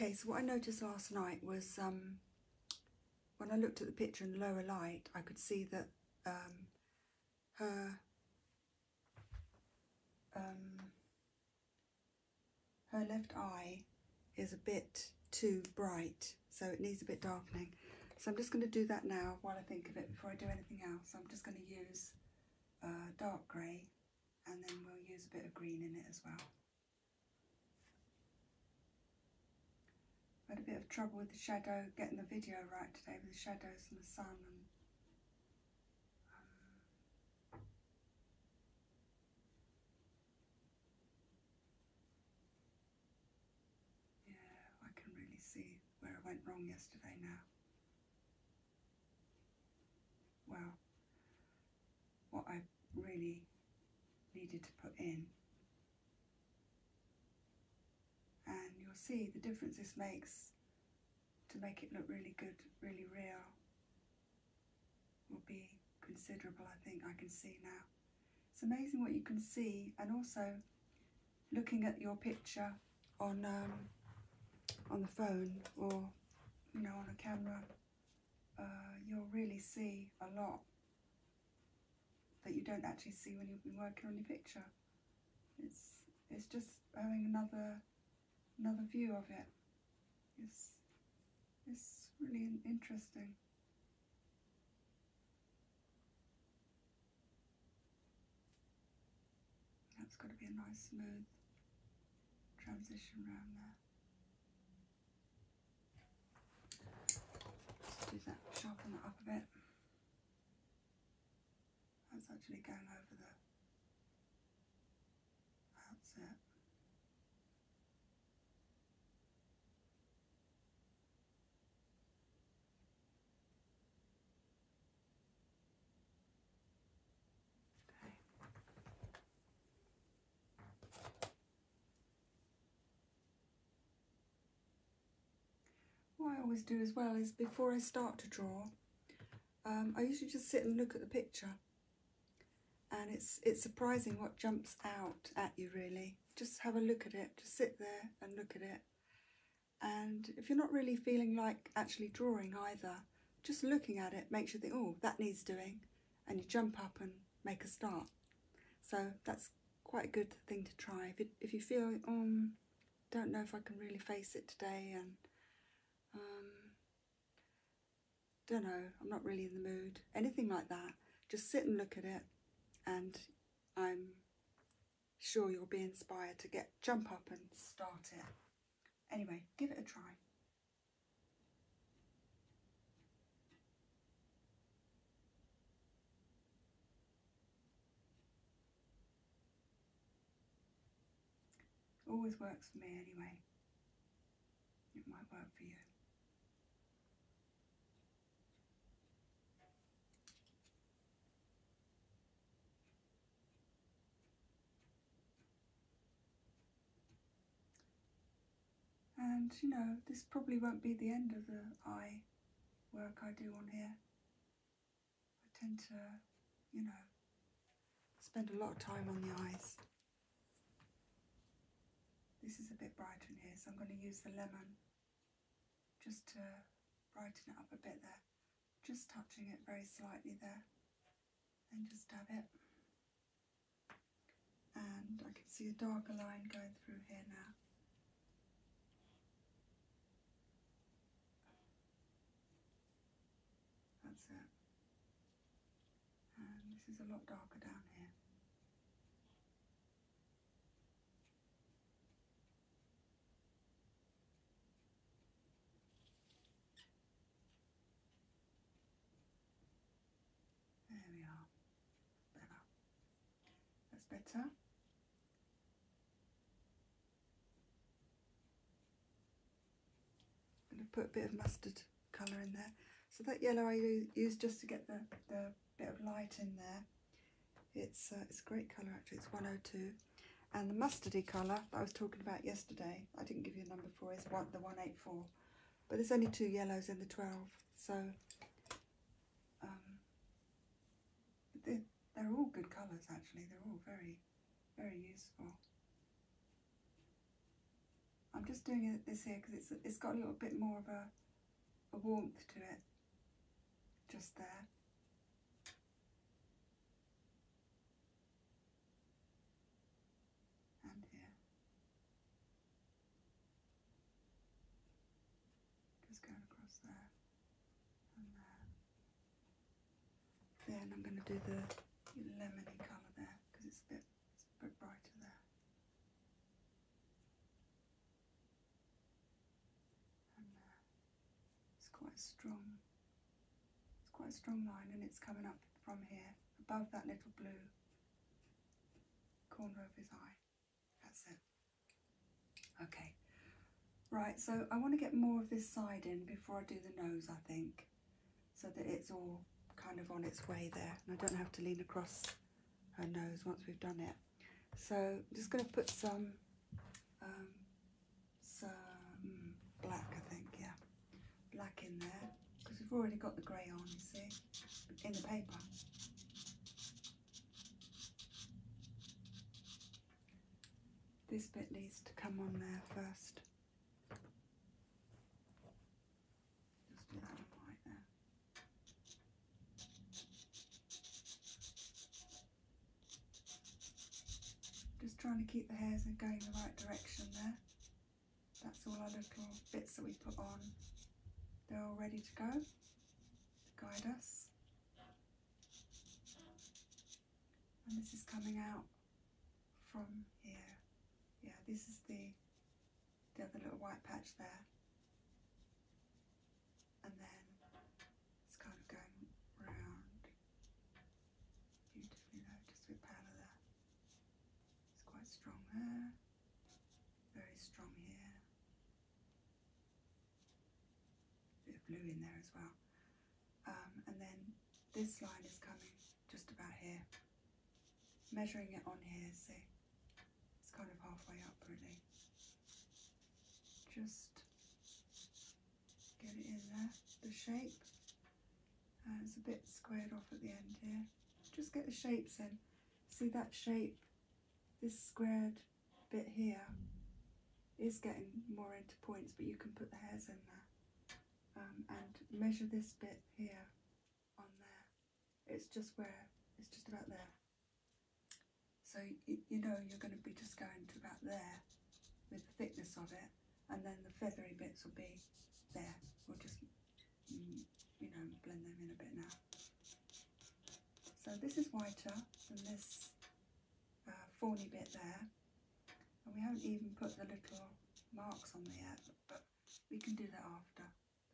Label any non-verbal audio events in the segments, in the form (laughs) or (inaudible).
Okay, so what I noticed last night was um, when I looked at the picture in lower light, I could see that um, her um, her left eye is a bit too bright, so it needs a bit darkening. So I'm just going to do that now while I think of it before I do anything else. I'm just going to use uh, dark grey and then we'll use a bit of green in it as well. I had a bit of trouble with the shadow, getting the video right today with the shadows and the sun and um, see where I went wrong yesterday now well what I really needed to put in and you'll see the difference this makes to make it look really good, really real will be considerable I think I can see now. It's amazing what you can see and also looking at your picture on um, on the phone or you know on a camera uh, you'll really see a lot that you don't actually see when you've been working on your picture. It's it's just having another another view of it. It's it's really interesting. That's got to be a nice smooth transition round there. Let's do that, sharpen that up a bit. That's actually going over the, that's it. Okay. What I always do as well is before I start to draw, um, I usually just sit and look at the picture. And it's, it's surprising what jumps out at you really. Just have a look at it, just sit there and look at it. And if you're not really feeling like actually drawing either, just looking at it makes you think, oh, that needs doing and you jump up and make a start. So that's quite a good thing to try. If, if you feel, um, don't know if I can really face it today and um, don't know, I'm not really in the mood, anything like that, just sit and look at it and I'm sure you'll be inspired to get jump up and start it. Anyway, give it a try. always works for me anyway. It might work for you. And you know, this probably won't be the end of the eye work I do on here. I tend to, you know, spend a lot of time on the eyes. This is a bit bright in here, so I'm going to use the lemon just to brighten it up a bit there. Just touching it very slightly there and just dab it and I can see a darker line going through here now. That's it. And this is a lot darker down here. There we are. Better. That's better. I'm going to put a bit of mustard colour in there. So that yellow I use just to get the, bit of light in there. It's, uh, it's a great colour actually, it's 102. And the mustardy colour I was talking about yesterday, I didn't give you a number for, is what the 184. But there's only two yellows in the 12, so um, they're, they're all good colours actually. They're all very, very useful. I'm just doing this here because it's, it's got a little bit more of a, a warmth to it, just there and here. Just going across there and there. Then I'm going to do the lemony colour there because it's a bit a bit brighter there. And there. It's quite strong. It's quite a strong line and it's coming up from here above that little blue corner of his eye. That's it. Okay. Right, so I want to get more of this side in before I do the nose, I think, so that it's all kind of on its way there. And I don't have to lean across her nose once we've done it. So I'm just going to put some, um, some black, I think, yeah black in there because we've already got the grey on, you see, in the paper. This bit needs to come on there first. Just do that one there. Just trying to keep the hairs going the right direction there. That's all our little bits that we put on. They're all ready to go to guide us. And this is coming out from here. Yeah, this is the, the other little white patch there. And then it's kind of going round you definitely notice we that. It's quite strong there, very strong here. Bit of blue in there as well. Um, and then this line is coming just about here. Measuring it on here, see? It's kind of halfway up really. Just get it in there, the shape. Uh, it's a bit squared off at the end here. Just get the shapes in. See that shape, this squared bit here is getting more into points, but you can put the hairs in there. Um, and measure this bit here on there. It's just where, it's just about there. So you know you're going to be just going to about there with the thickness of it and then the feathery bits will be there. We'll just, mm, you know, blend them in a bit now. So this is whiter than this uh, fawny bit there. And we haven't even put the little marks on there yet, but we can do that after.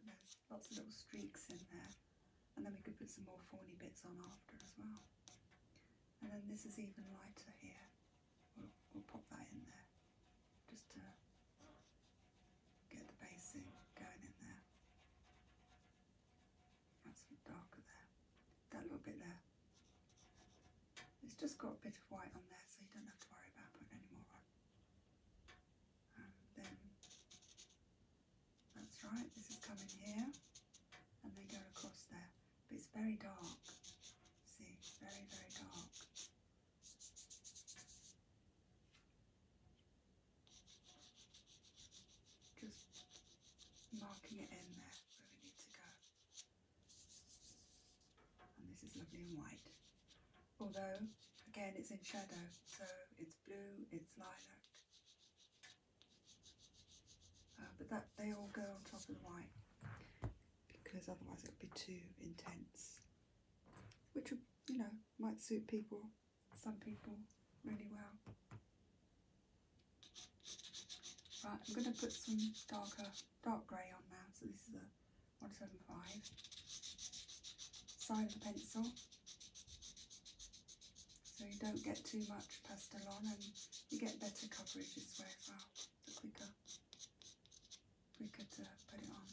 there's lots of little streaks in there. And then we could put some more fawny bits on after as well. And then this is even lighter here we'll, pop that in there just to get the basing going in there. That's darker there. That little bit there. It's just got a bit of white on there so you don't have to worry about putting any more on. And then, that's right, this is coming here and they go across there. But it's very dark, see, very, very dark. Just marking it in there where we need to go. And this is lovely and white. Although, again, it's in shadow, so it's blue, it's lilac. Uh, but that they all go on top of the white because otherwise it would be too intense, which you know might suit people, some people really well. Right, I'm going to put some darker, dark grey on now. So this is a 175. Side of the pencil. So you don't get too much pastel on and you get better coverage this way as well the quicker we could put it on.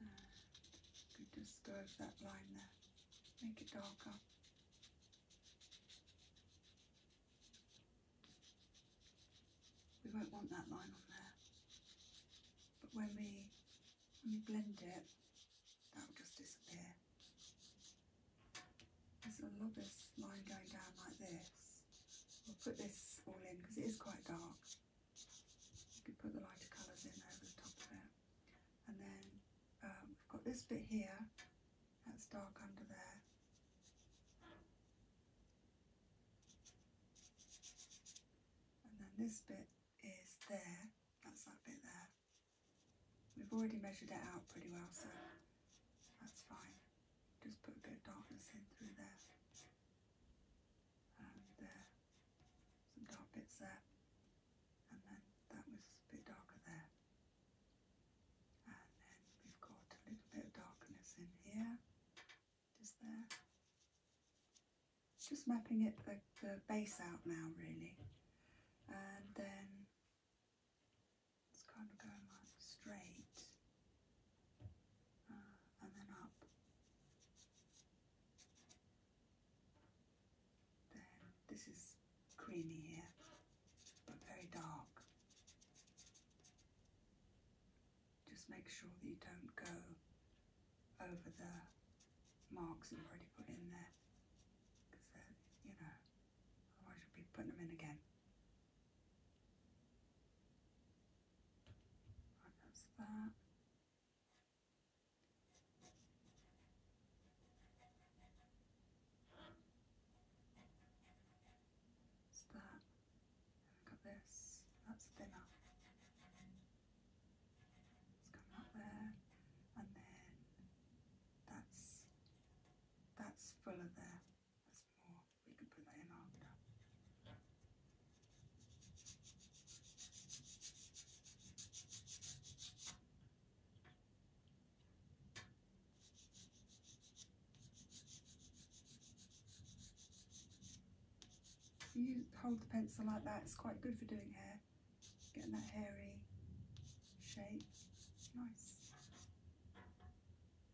And uh, could just go over that line there, make it darker. We won't want that line on there, but when we when you blend it, that will just disappear. There's a lot of line going down like this. We'll put this all in because it is quite dark. You could put the lighter colours in over the top of it. And then um, we've got this bit here, that's dark under there. And then this bit is there. That's that bit there. We've already measured it out pretty well, so that's fine. Just put a bit of darkness in through there. And Some dark bits there. And then that was a bit darker there. And then we've got a little bit of darkness in here. Just there just mapping it the, base out now really and then it's kind of going like straight uh, and then up then this is creamy here but very dark just make sure that you don't go over the marks that you've already put in there. Because, you know, otherwise you'll be putting them in again. Right, that's that. That's that. this. That's thinner. It's come out there, and then that's that's fuller there. That's more. We can put in after you hold the pencil like that, it's quite good for doing hair, getting that hairy shape, nice.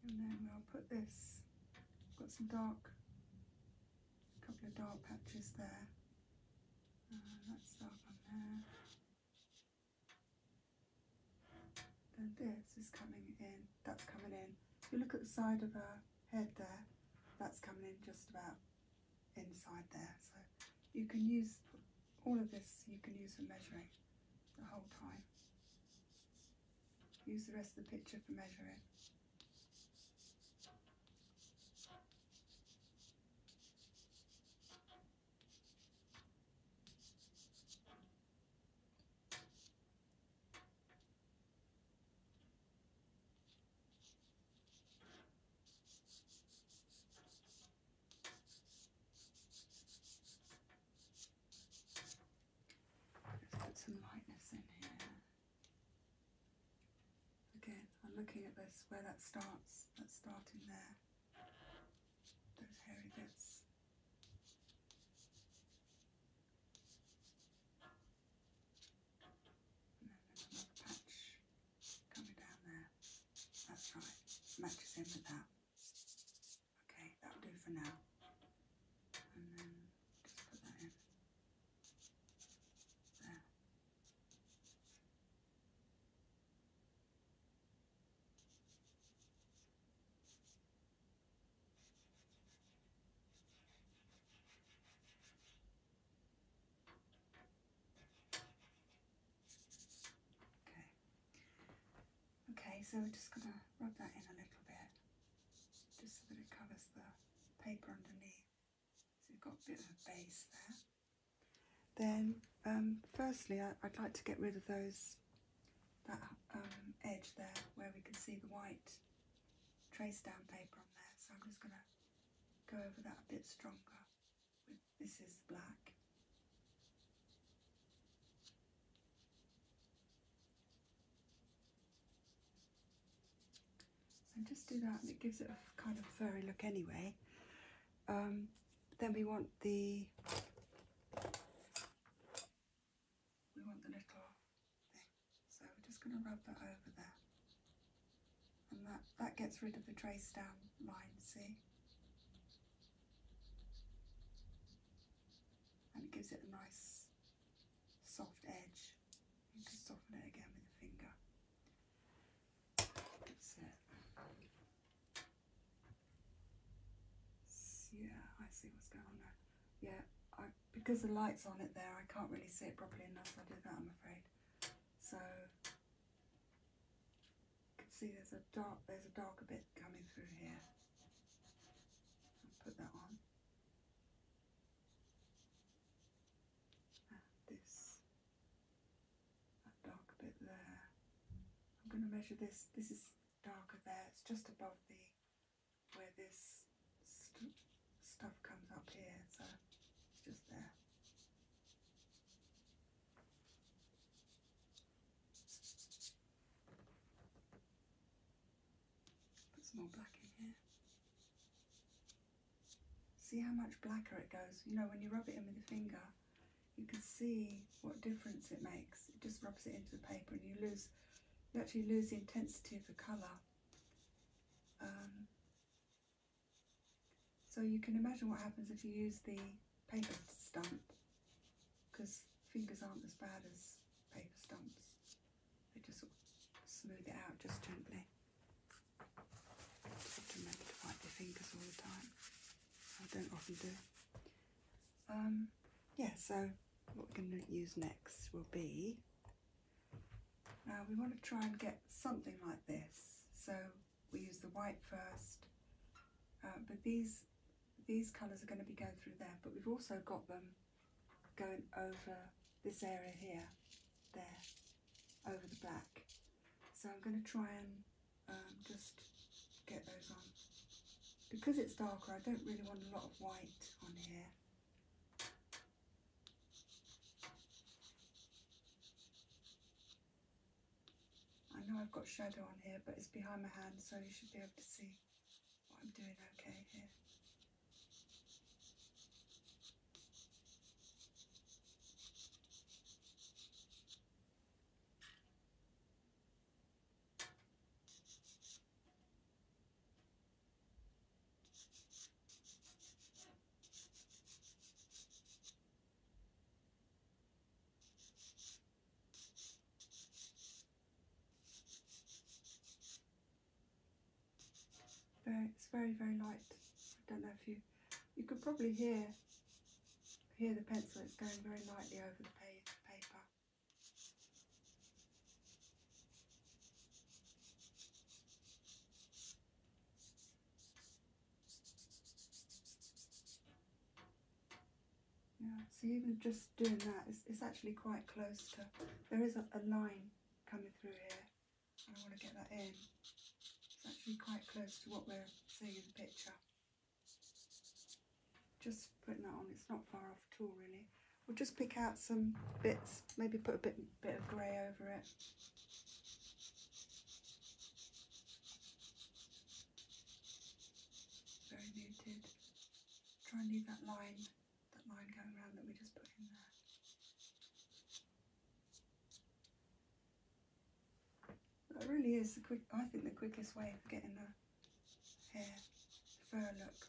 And then I'll put this, I've got some dark, a couple of dark patches there. Uh, that's dark on there. Then this is coming in, that's coming in. If you look at the side of a head there, that's coming in just about inside there. So you can use all of this, you can use for measuring the whole time. Use the rest of the picture for measuring. Let's put some lightness in here. Again, I'm looking at this where that starts, that's starting there, those hairy bits another patch coming down there. That's right, matches in with that. Okay, that'll do for now. And then just put that in. There. Okay. Okay, so we're just going to rub that in a little bit, just so that it covers the paper underneath. So you've got a bit of a base there. Then, um, firstly, I, would like to get rid of those, that um, edge there where we can see the white traced down paper on there. So I'm just going to go over that a bit stronger this is black. And just do that and it gives it a kind of furry look anyway. Um, then we want the we want the little so we're just going to rub that over there. And that, that gets rid of the trace down line, see? And it gives it a nice soft edge. You can soften it again with your finger. That's it. yeah, I see what's going on there. Yeah, I because the light's on it there, I can't really see it properly enough. I do that, I'm afraid. So, you can see there's a dark, there's a darker bit coming through here. put that on. Ah, this, that darker bit there. I'm going to measure this. This is darker there. It's just above the where this stuff comes up here, so it's just there. Put some more black in here. See how much blacker it goes. You know, when you rub it in with your finger, you can see what difference it makes. It just rubs it into the paper and you lose, you actually lose the intensity of the colour. Um, so you can imagine what happens if you use the paper stamp, because fingers aren't as bad as paper stamps. They just smooth it out just gently. Just remember to wipe your fingers all the time. I don't often do. Um, yeah, so what we're going to use next will be now we want to try and get something like this. So we use the white first, uh, but these these colours are going to be going through there, but we've also got them going over this area here, there, over the back. So I'm going to try and um, just get those on. Because it's darker, I don't really want a lot of white on here. I know I've got shadow on here, but it's behind my hand, so you should be able to see what I'm doing okay here. Very, very, very light. I don't know if you, you could probably hear, hear the pencil. It's going very lightly over the paper. Yeah, so even just doing that, it's, actually quite close to, there is a, a line coming through here, I want to get that in. It's actually quite close to what we're seeing in the picture. Just putting that on, it's not far off at all really. We'll just pick out some bits, maybe put a bit, bit of grey over it. Very muted. Try and leave that line, that line going around that we just put in there. That really is the quick, I think the quickest way of getting a hair, fur look.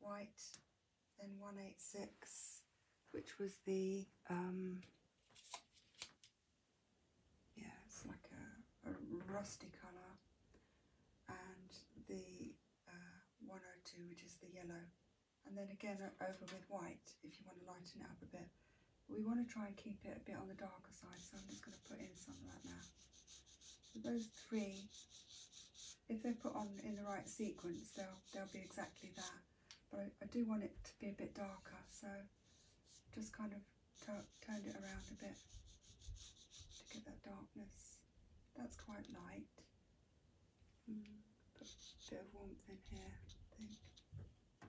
white, then 186, which was the, um, yeah, it's like a, rusty colour, and the uh, 102, which is the yellow. And then again over with white, if you want to lighten it up a bit. We want to try and keep it a bit on the darker side, so I'm just going to put in some of that now those three, if they're put on in the right sequence, they'll, they'll be exactly that. But I, do want it to be a bit darker, so just kind of turned it around a bit to get that darkness. That's quite light. Mm, put a bit of warmth in here, I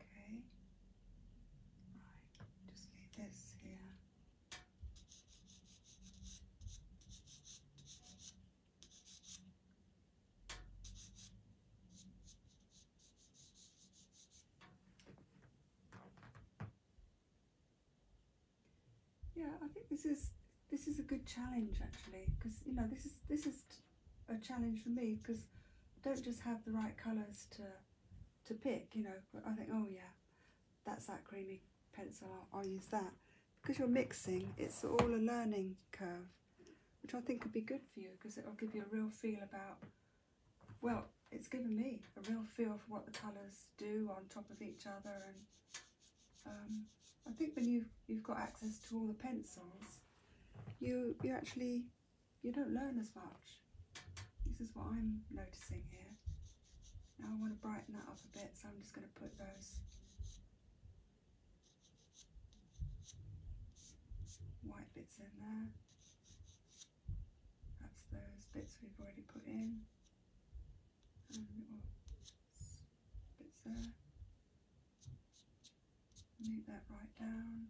Okay. Right, just need this here. Yeah, I think this is this is a good challenge actually because you know this is this is a challenge for me because don't just have the right colours to to pick, you know. I think, oh yeah, that's that creamy pencil, I'll, use that. Because you're mixing, it's all a learning curve, which I think could be good for you because it'll give you a real feel about, well, it's given me a real feel for what the colours do on top of each other and um, I think when you you've got access to all the pencils, you, you actually you don't learn as much. This is what I'm noticing here. Now I want to brighten that up a bit, so I'm just going to put those white bits in there. That's those bits we've already put in. bits there. Move that right down.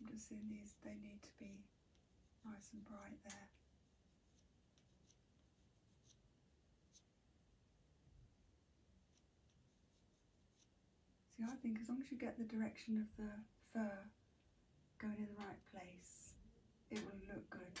I'm just doing these, they need to be nice and bright there. See, I think as long as you get the direction of the fur going in the right place, it will look good.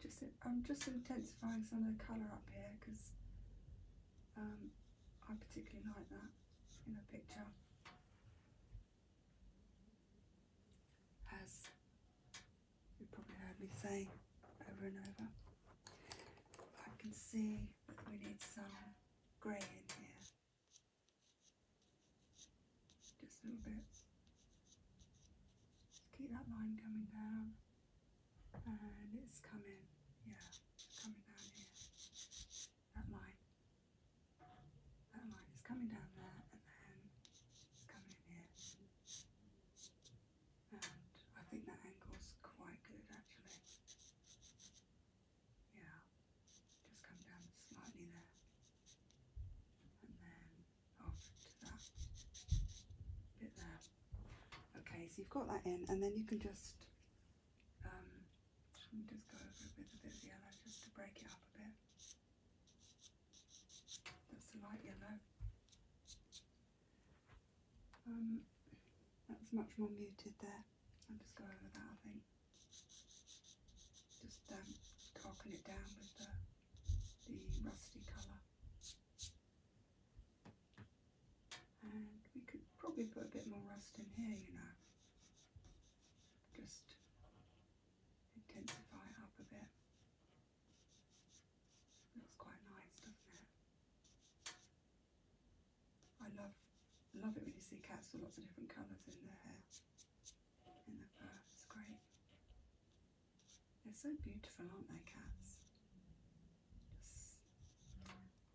just a I'm just intensifying some of the colour up here because um, I particularly like that in a picture. As you probably heard me say over and over. I can see that we need some grey in here. Just a little bit. keep that line coming down and it's coming, yeah, coming down here. That line, that line is coming down there, and then coming in here. And I think that angle's quite good actually. Yeah, just come down slightly there, and then off to that bit there. Okay, so you've got that in, and then you can just um, just go over a bit of this yellow just to break it up a bit. That's the light yellow. Um, that's much more muted there. I'll just go over that, I think. Just um, darken it down with the, the rusty colour. And we could probably put a bit more rust in here, you know. Just intensify it up a bit. Looks quite nice, doesn't it? I love love it when you see cats with lots of different colours in their hair, in their fur. It's great. They're so beautiful, aren't they, cats? Just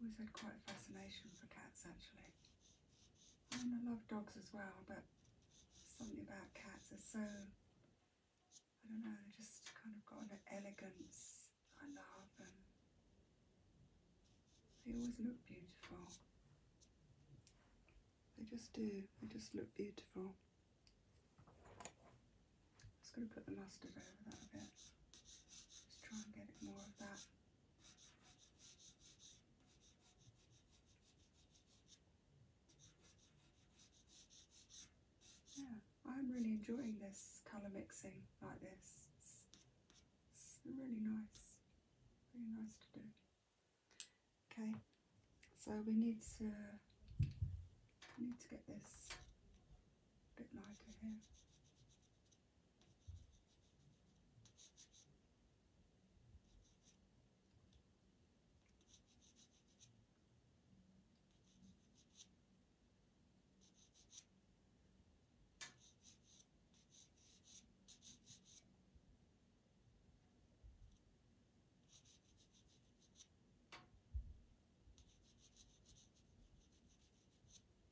always had quite a fascination for cats, actually. I love dogs as well, but something about cats is so, I don't know, they just kind of got an elegance I love them. they always look beautiful. They just do, they just look beautiful just going to put the mustard over that a bit. Just try and get it more of that. Yeah, I'm really enjoying this colour mixing like this. It's, really nice. Really nice to do. Okay, so we need to we need to get this bit lighter here.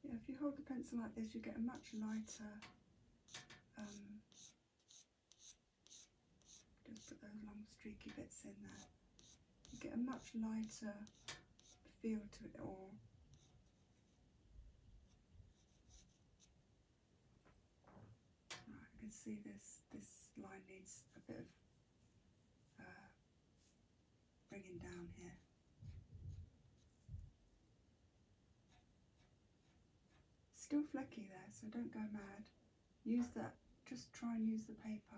Yeah, if you hold the pencil like this, you get a much lighter. Um, just put those long streaky bits in there. You get a much lighter feel to it all. Right, I can see this this line needs a bit uh, bringing down here. Still flecky there, so don't go mad. Use that, just try and use the paper.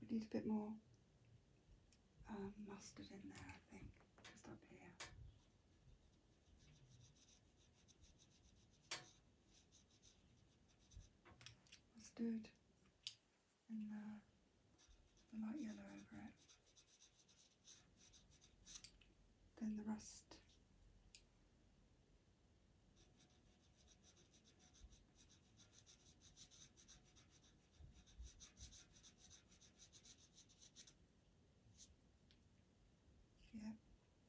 We need a bit more um, mustard in there, I think, just up here. Mustard and uh, the light yellow over it. Then the rust yeah,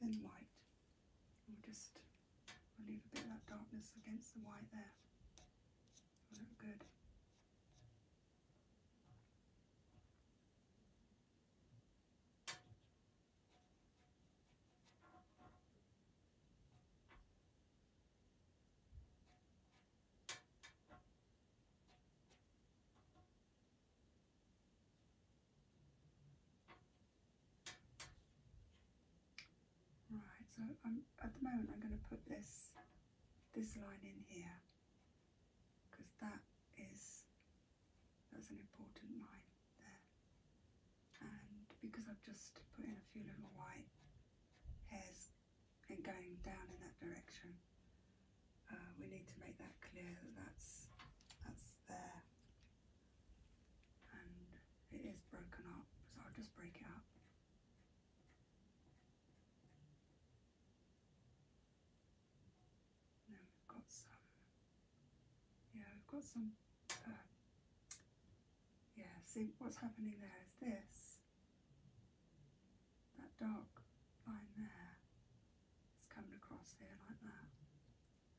then white. We'll just we'll leave a bit of that darkness against the white there. Will good. Right, so I'm, at the moment I'm going to put this, this line in here because that is, that's an important line there and because I've just put in a few little white hairs and going down in that direction uh, we need to make that clear that that's, that's there and it is broken up so I'll just break it up then we've got some yeah we've got some uh, yeah, see what's happening there is this. That dark line there there is coming across here like that.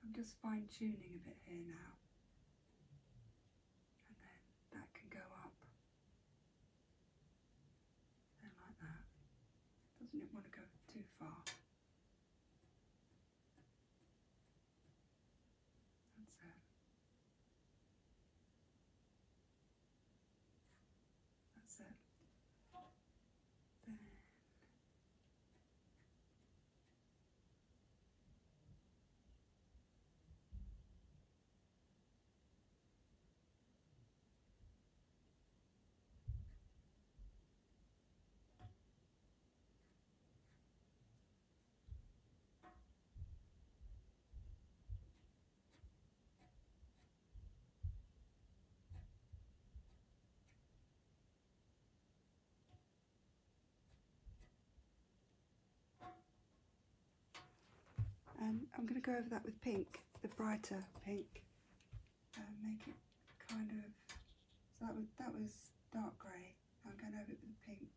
I'm just fine tuning a bit here now. And then that can go up. Then like that. Doesn't it want to go too far? That's it. That's it. Then um, I'm going to go over that with pink, the brighter pink, uh, make it kind of, so that was, that was dark grey. I'm going over it with the pink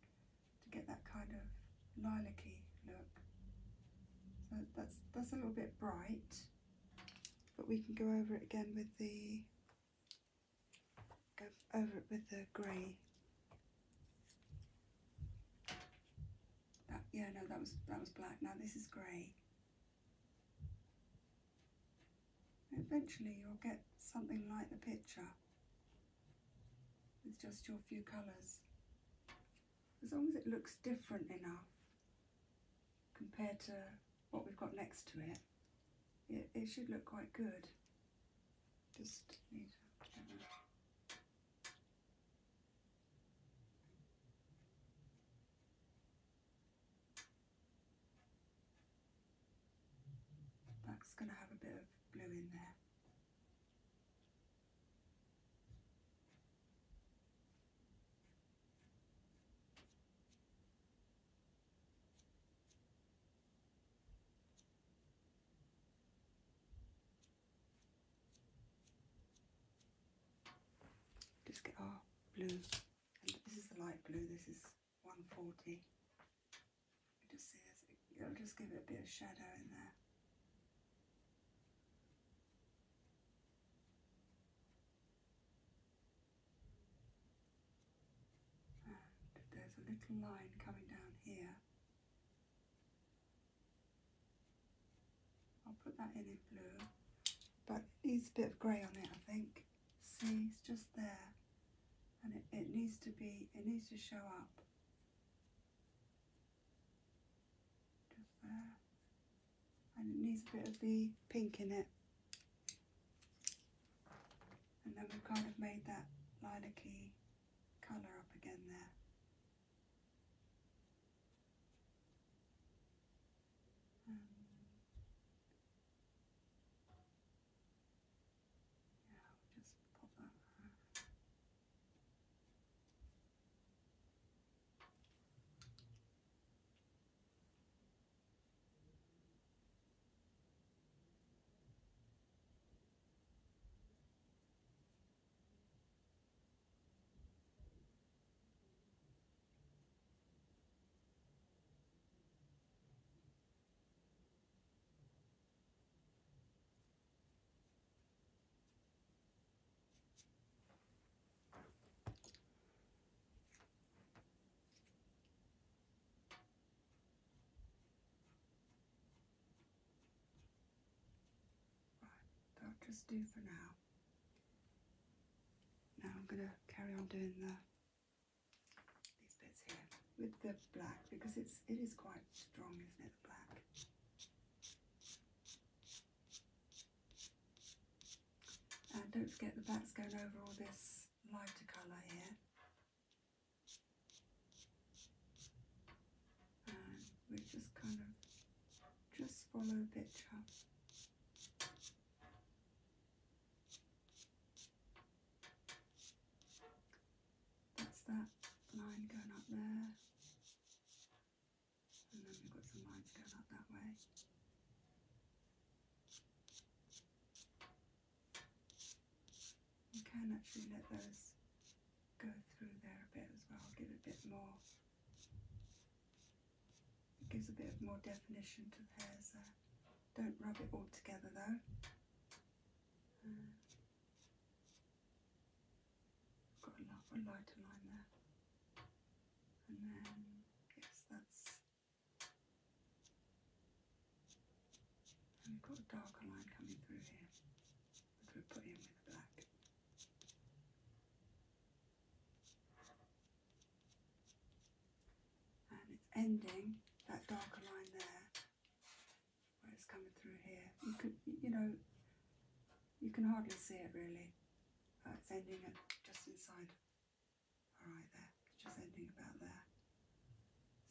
to get that kind of lilac-y look. So that's, that's a little bit bright, but we can go over it again with the, go over it with the grey. yeah, no, that was, that was black. Now this is grey. Eventually you'll get something like the picture with just your few colours. As long as it looks different enough compared to what we've got next to it, it, should look quite good. Just need that's going to have a bit of blue in there. Just get our blue, this is the light blue, this is 140. It will just give it a bit of shadow in there. there's a little line coming down here. I'll put that in in blue, but it needs a bit of grey on it, I think. See, it's just there. And it, it needs to be, it needs to show up. Just there. And it needs a bit of the pink in it. And then we've kind of made that lilac-y colour up again there. Um, now just cover her. That'll just do for now. Now I'm going to carry on doing the these bits here with the black because it's it is quite strong, isn't it? The black. And don't forget the that's going over all this lighter colour here. And we just kind of just follow the picture. That's that line going up there. And then we've got some lines going up that way. You can actually let those go through there a bit as well, give it a bit more, it gives a bit of more definition to the hairs there. Don't rub it all together though got a lovely lighter line there. And then, yes, that's. we've got a darker line coming through here, which we put in the black and it's ending that darker line there where it's coming through here. You can, you know, you can hardly see it really. Uh, it's ending it just inside. All right, there, it's just ending about there.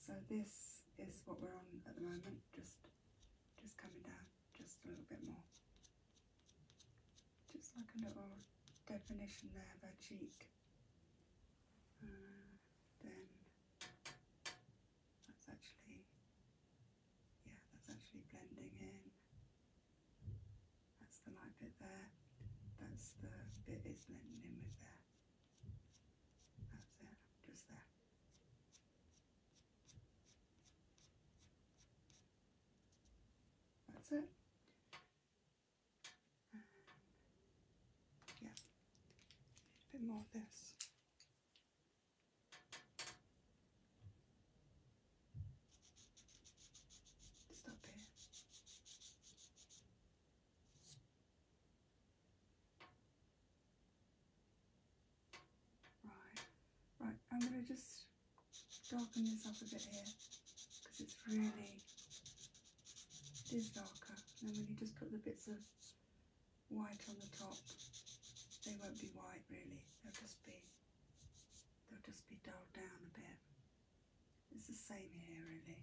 So this is what we're on at the moment, just just coming down just a little bit more. Just like a little definition there of her cheek. Uh, then that's actually, yeah, that's actually blending in. That's the light bit there. That's the bit it's blending in with there. That's it, just there. That's it yeah, a bit more of this. Stop here. Right, right, I'm going to just darken this up a bit here because it's really it is darker. and when you just put the bits of white on the top, they won't be white really. They'll just be they'll just be dulled down a bit. It's the same here really.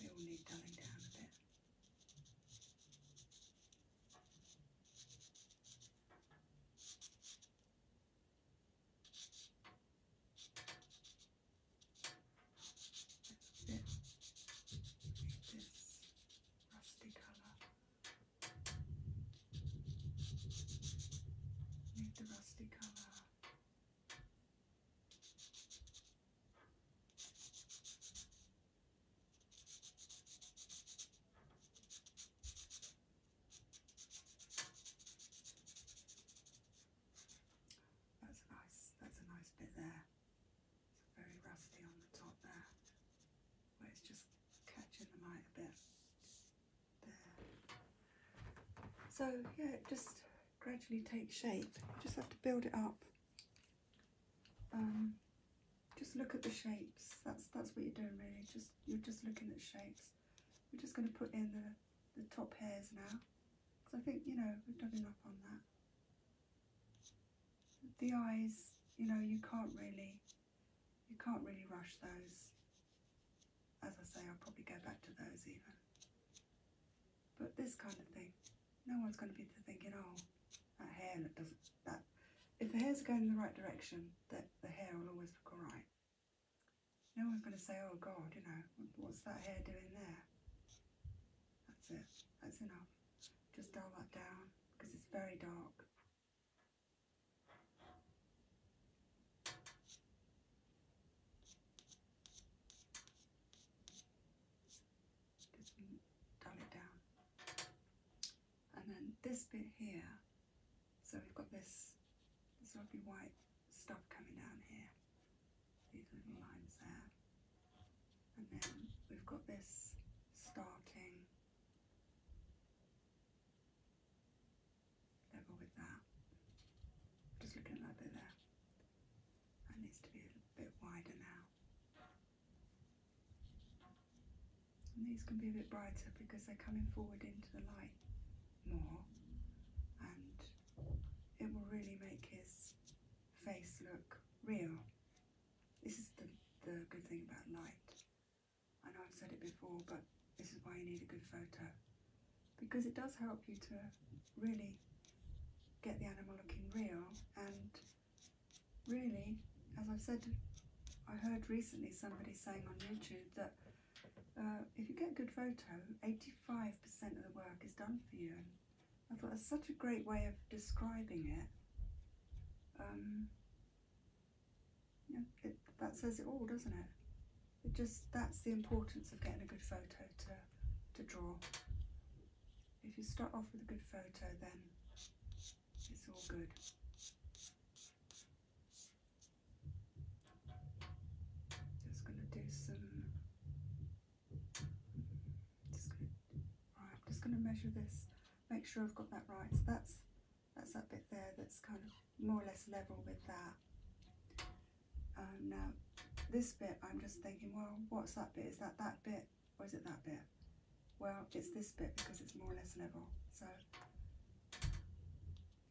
They all need dulling down a bit bit this rusty colour. Need the rusty colour. That's nice. That's a nice bit there. very rusty on the top there, where it's just catching the light a bit. There. So yeah, it just gradually takes shape. You just have to build it up. Um, just look at the shapes. That's that's what you're doing really. Just you're just looking at shapes. We're just going to put in the the top hairs now. Because I think, you know, we've done enough on that. The eyes, you know, you can't really, you can't really rush those. As I say, I'll probably go back to those even. But this kind of thing, no one's going to be thinking, oh, that hair that doesn't, that, if the hair's are going in the right direction, that the hair will always look alright. No one's going to say, oh God, you know, what's that hair doing there? That's it. That's enough. Just dial that down because it's very dark. Just dial it down. And then this bit here, so we've got this, this lovely white stuff coming down here. These little lines there. And then we've got this starting level with that. Just looking at bit there. That needs to be a bit wider now. And these can be a bit brighter because they're coming forward into the light more and it will really make his face look real. This is the, the good thing about light. I know I've said it before, but this is why you need a good photo. Because it does help you to really get the animal looking real and really, as I've said, I heard recently somebody saying on YouTube that uh, if you get a good photo, 85% of the work is done for you. I thought that's such a great way of describing it. Um, it, that says it all, doesn't it? It just that's the importance of getting a good photo to to draw. If you start off with a good photo, then it's all good. Just gonna do some. Just gonna, I'm just gonna measure this. Make sure I've got that right. So that's that's that bit there. That's kind of more or less level with that. Um, now this bit, I'm just thinking, well, what's that bit? Is that that bit or is it that bit? Well, it's this bit because it's more or less level. So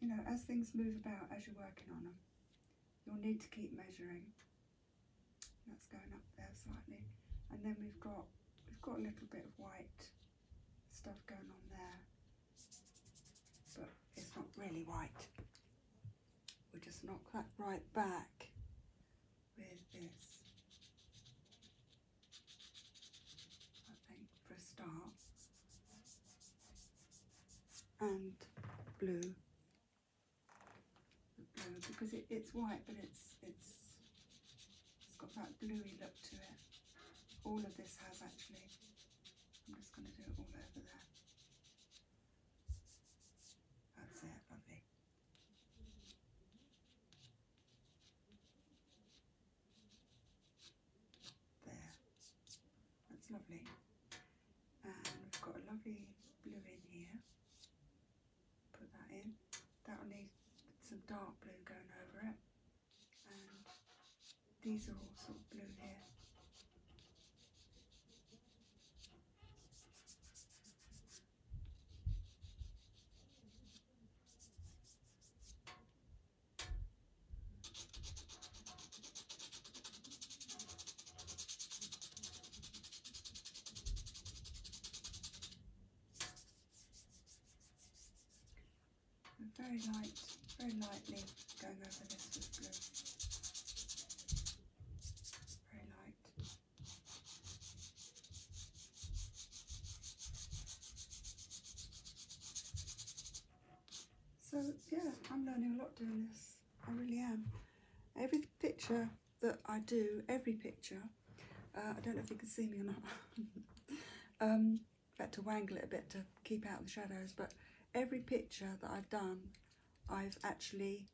you know, as things move about as you're working on them. You'll need to keep measuring. That's going up there slightly. And then we've got we've got a little bit of white stuff going on there. But it's not really white. We'll just knock that right back with this. I think for a start and blue. because it's white but it's it's it's got that bluey look to it. All of this has actually. I'm just gonna do it all over there. That's it, lovely there. That's lovely. And we've got a lovely blue in here. Put that in. That'll need some dark blue going over it. And these are all sort of blue here. And very light, very lightly going over this with blue. Very light. So yeah, I'm learning a lot doing this. I really am. Every picture that I do, every picture, uh, I don't know if you can see me or not. (laughs) um, had to wangle it a bit to keep out the shadows, but every picture that I've done, I've actually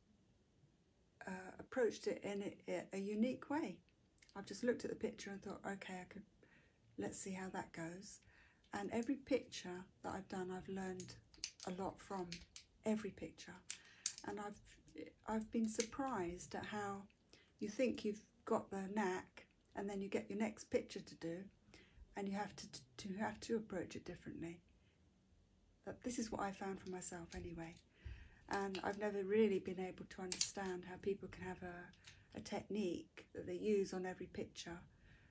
uh, approached it in a, unique way. I've just looked at the picture and thought, okay, I could let's see how that goes. And every picture that I've done, I've learned a lot from every picture. And I've, I've been surprised at how you think you've got the knack and then you get your next picture to do and you have to, to have to approach it differently. But this is what I found for myself anyway. And I've never really been able to understand how people can have a, a technique that they use on every picture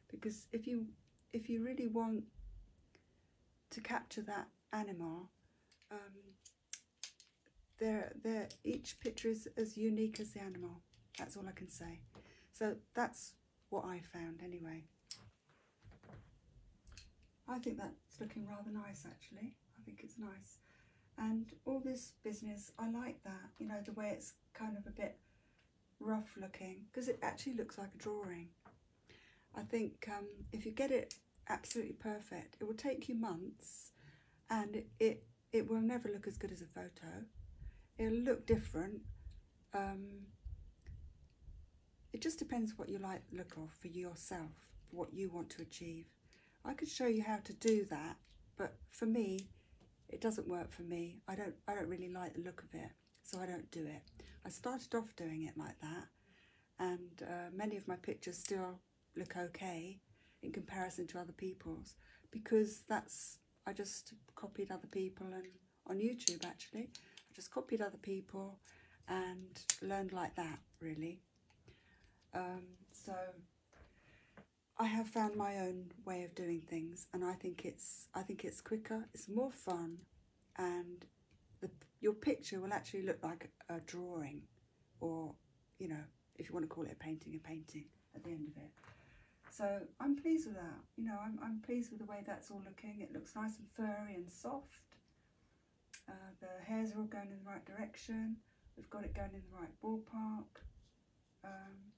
because if you if you really want to capture that animal um, they each picture is as unique as the animal that's all I can say so that's what I found anyway I think that's looking rather nice actually I think it's nice and all this business I like that you know the way it's kind of a bit rough looking because it actually looks like a drawing. I think um, if you get it absolutely perfect, it will take you months and it, it, will never look as good as a photo. It'll look different. Um, it just depends what you like the look of for yourself, what you want to achieve. I could show you how to do that, but for me, it doesn't work for me. I don't I don't really like the look of it, so I don't do it. I started off doing it like that, and uh, many of my pictures still look okay in comparison to other people's because that's I just copied other people and on YouTube actually I just copied other people and learned like that really. Um, so I have found my own way of doing things, and I think it's I think it's quicker, it's more fun, and your picture will actually look like a drawing, or you know, if you want to call it a painting, a painting at the end of it. So I'm pleased with that. You know, I'm I'm pleased with the way that's all looking. It looks nice and furry and soft. Uh, the hairs are all going in the right direction. We've got it going in the right ballpark. Um,